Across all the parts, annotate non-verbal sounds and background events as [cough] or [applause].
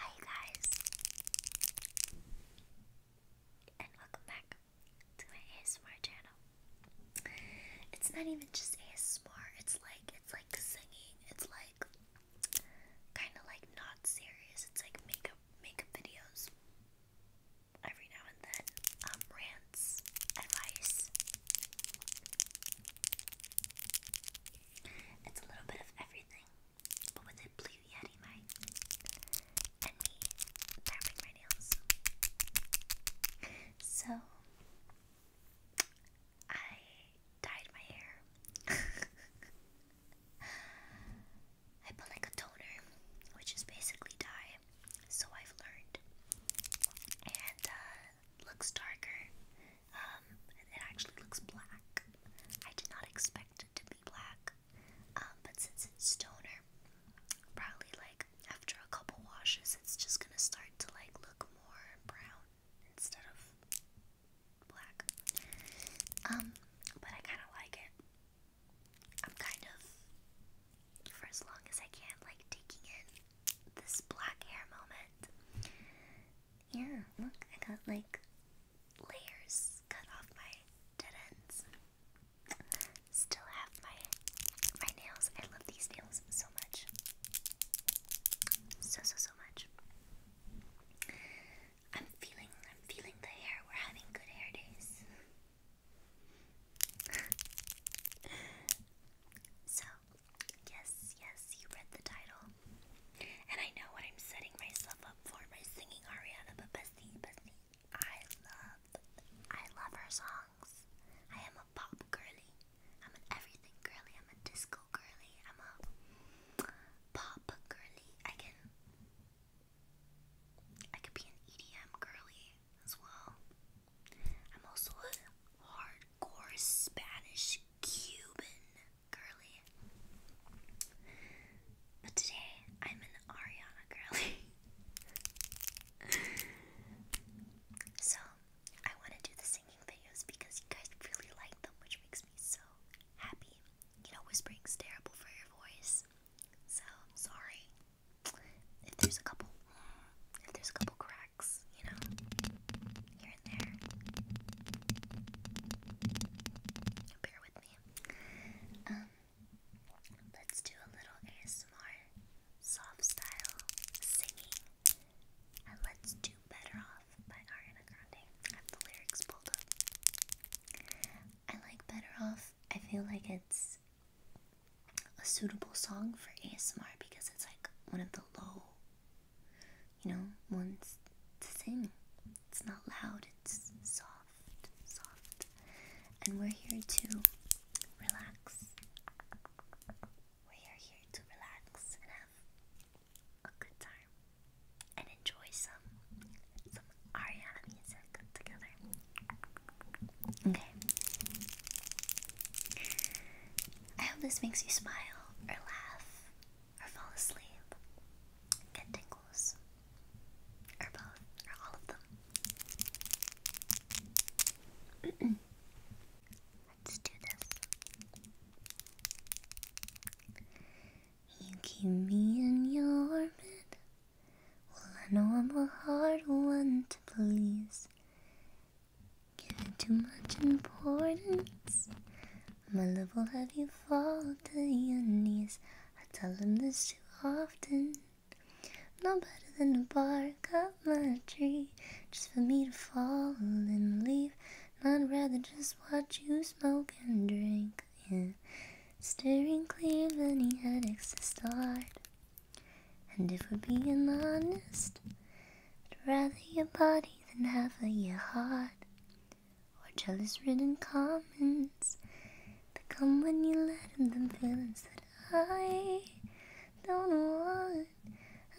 Hi guys and welcome back to my ASMR channel. It's not even just ASMR, it's like it's like singing, it's like kinda like not serious, it's like makeup makeup videos every now and then. Um, rants, advice it's a little bit of everything, but with a blue Yeti mic and me tapping my nails. So, I dyed my hair. [laughs] I put like a toner, which is basically dye, so I've learned. And uh, looks darker. Um, and it actually looks black. I did not expect it to be black. Um, but since it's stoner, probably like after a couple washes, it's just gonna start to like look more brown instead of black. Um, but I kind of like it. I'm kind of, for as long as I can, like taking in this black hair moment. Yeah, look, I got like layers cut off my dead ends. Still have my my nails. I love these nails so much. So so so much. I'm feeling I'm feeling the hair. We're having good hair days. [laughs] so Yes, yes, you read the title. And I know what I'm setting myself up for by singing Ariana, but bestie, bestie, I love, I love her songs. I am a pop girly. I'm an everything girly. I'm a disco girly. I'm a pop girly. I can, I could be an EDM girly as well. I'm also hardcore Spanish Cuban girly. But today I'm an Ariana girly. [laughs] so I want to do the singing videos because you guys really like them, which makes me so happy. You know, whispering's terrible for your voice. So sorry. If there's a couple if there's a couple cracks you know, here and there. Bear with me. Um, let's do a little ASMR soft style singing. And let's do Better Off by Ariana Grande. I have the lyrics pulled up. I like Better Off. I feel like it's a suitable song for ASMR because it's like one of the low you know, wants to sing. It's not loud, it's soft, soft. And we're here to relax. We are here to relax and have a good time and enjoy some some Ariana music together. Okay. I hope this makes you smile or laugh or fall asleep, get tingles, or both, or all of them. [clears throat] Let's do this. You keep me in your orbit. Well, I know I'm a hard one to please. Give it too much importance. Mother will have you fall to your knees. I tell them this too often. No better than a bark up my tree, just for me to fall and leave. And I'd rather just watch you smoke and drink. Yeah. Steering clear of any headaches to start. And if we're being honest, I'd rather your body than half of your heart, or jealous ridden comments that come when you let them, them feelings that I don't want.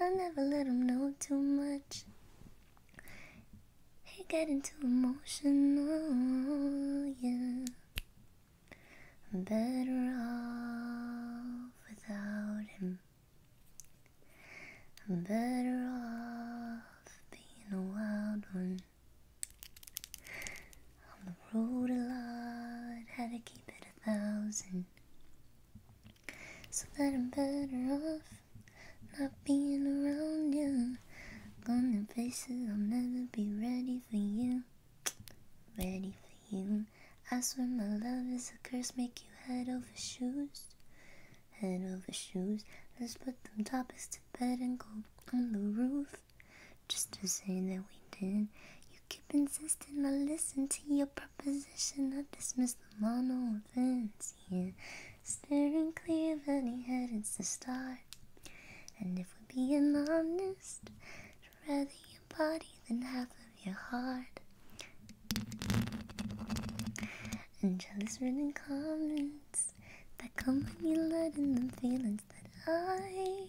I never let them know too much. Hey, getting too emotional, yeah. I'm better off without him. I'm better off being a wild one. On the road a lot, had to keep it a thousand. So that I'm better off not being around you. Gonna face it, I'll never be ready for you. Ready for you. I swear my love is a curse, make you head over shoes. Head over shoes, let's put them toppers to bed and go on the roof. Just to say that we did, you keep insisting I listen to your proposition. I dismiss the all, no offense, yeah. Steering clear of any headings to start. And if we're being honest, I'd rather your body than half of your heart. And jealous written comments that come when you let in the feelings that I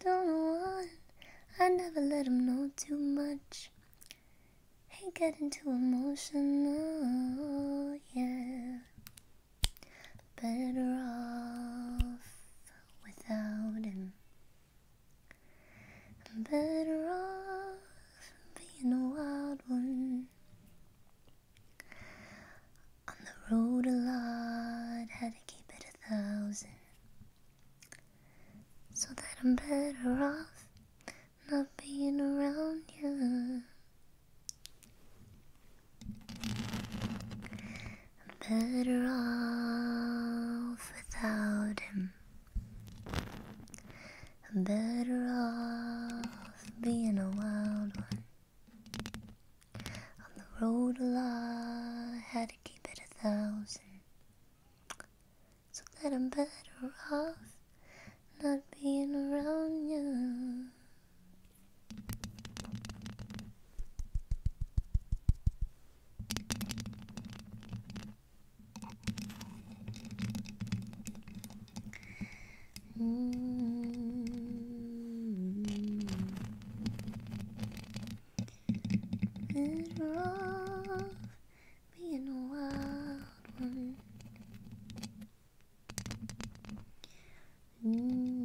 don't want. I never let them know too much. Hey, getting too emotional, yeah. Better off without him. I'm better off being a wild one. On the road a lot, had to keep it a thousand. So that I'm better off not being around you. I'm better off without him. I'm better off being a wild one. On the road a lot, had to keep it a thousand. So that I'm better off not being around you. It all being a wild one. Mm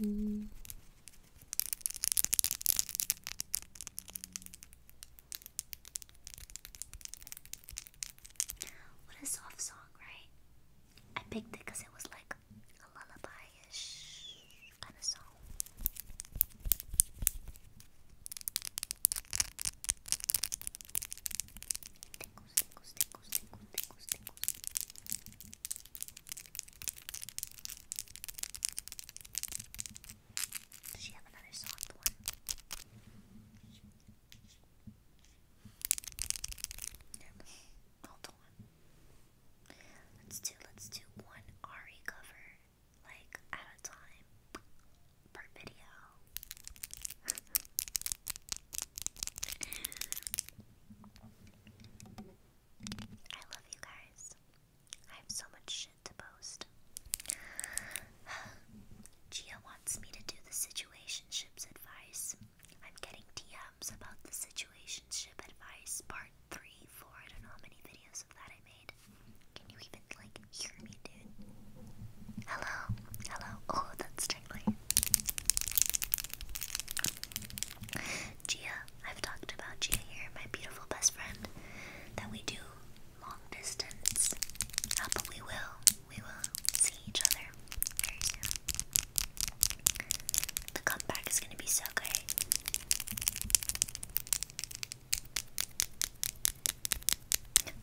-hmm. What a soft song, right? I picked it because it was like a lullaby-ish kind of song. Does she have another soft one? Nope. Hold on. Let's do let's do one Ari cover like at a time per video. [laughs] I love you guys. I have so much shit to post. [sighs] Gia wants me to do the situation situationships advice. I'm getting DMs about the situation situationship advice part 3, 4, I don't know how many videos of that I made. Can you even, like, hear me, dude? Hello? Hello? Oh, that's tingly. Gia I've talked about Gia here, my beautiful best friend, that we do long distance. Ah, but we will, we will see each other very soon. The comeback is gonna be so great.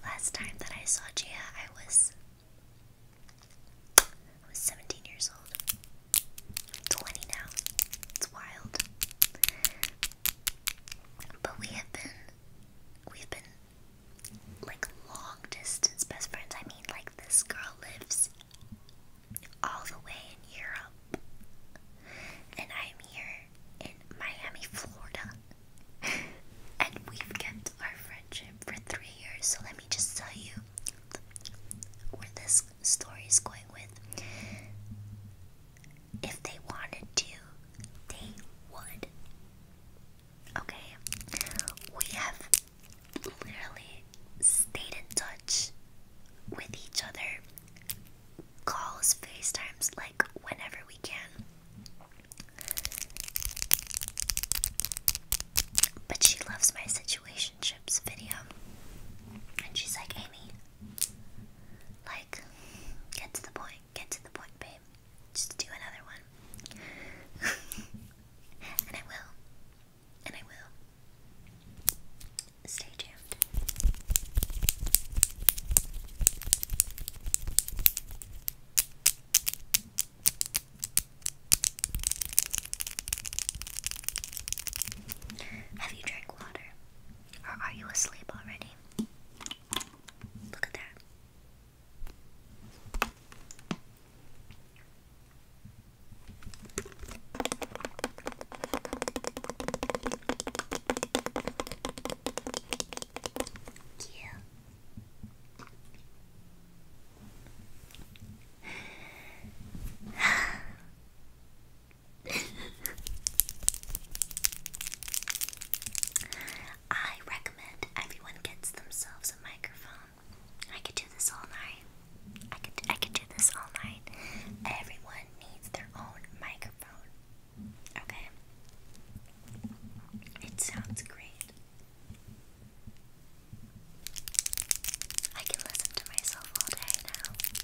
Last time that I saw Gia, I was I was 17 years old. 20 now. It's wild. But we have been, we have been like long distance best friends. I mean, like this girl lives all the way in Europe, and I'm here in Miami, Florida. [laughs] and we've kept our friendship for three years. So let me just tell you where this story is going with if they wanted to, they would. Okay, we have literally stayed in touch with each other, calls, FaceTimes, like whenever we can. But she loves my situationships video, and she's like, Amy, like, get to the point, get to the point, babe. Just do another one. [laughs] and I will. And I will. Stay tuned. Have you drank water? Or are you asleep already? Look at that. Cute. [sighs] [sighs] [laughs] I recommend everyone gets themselves a microphone. I could do this all night. I could I could do this all night. Everyone needs their own microphone. Okay. It sounds great. I can listen to myself all day now.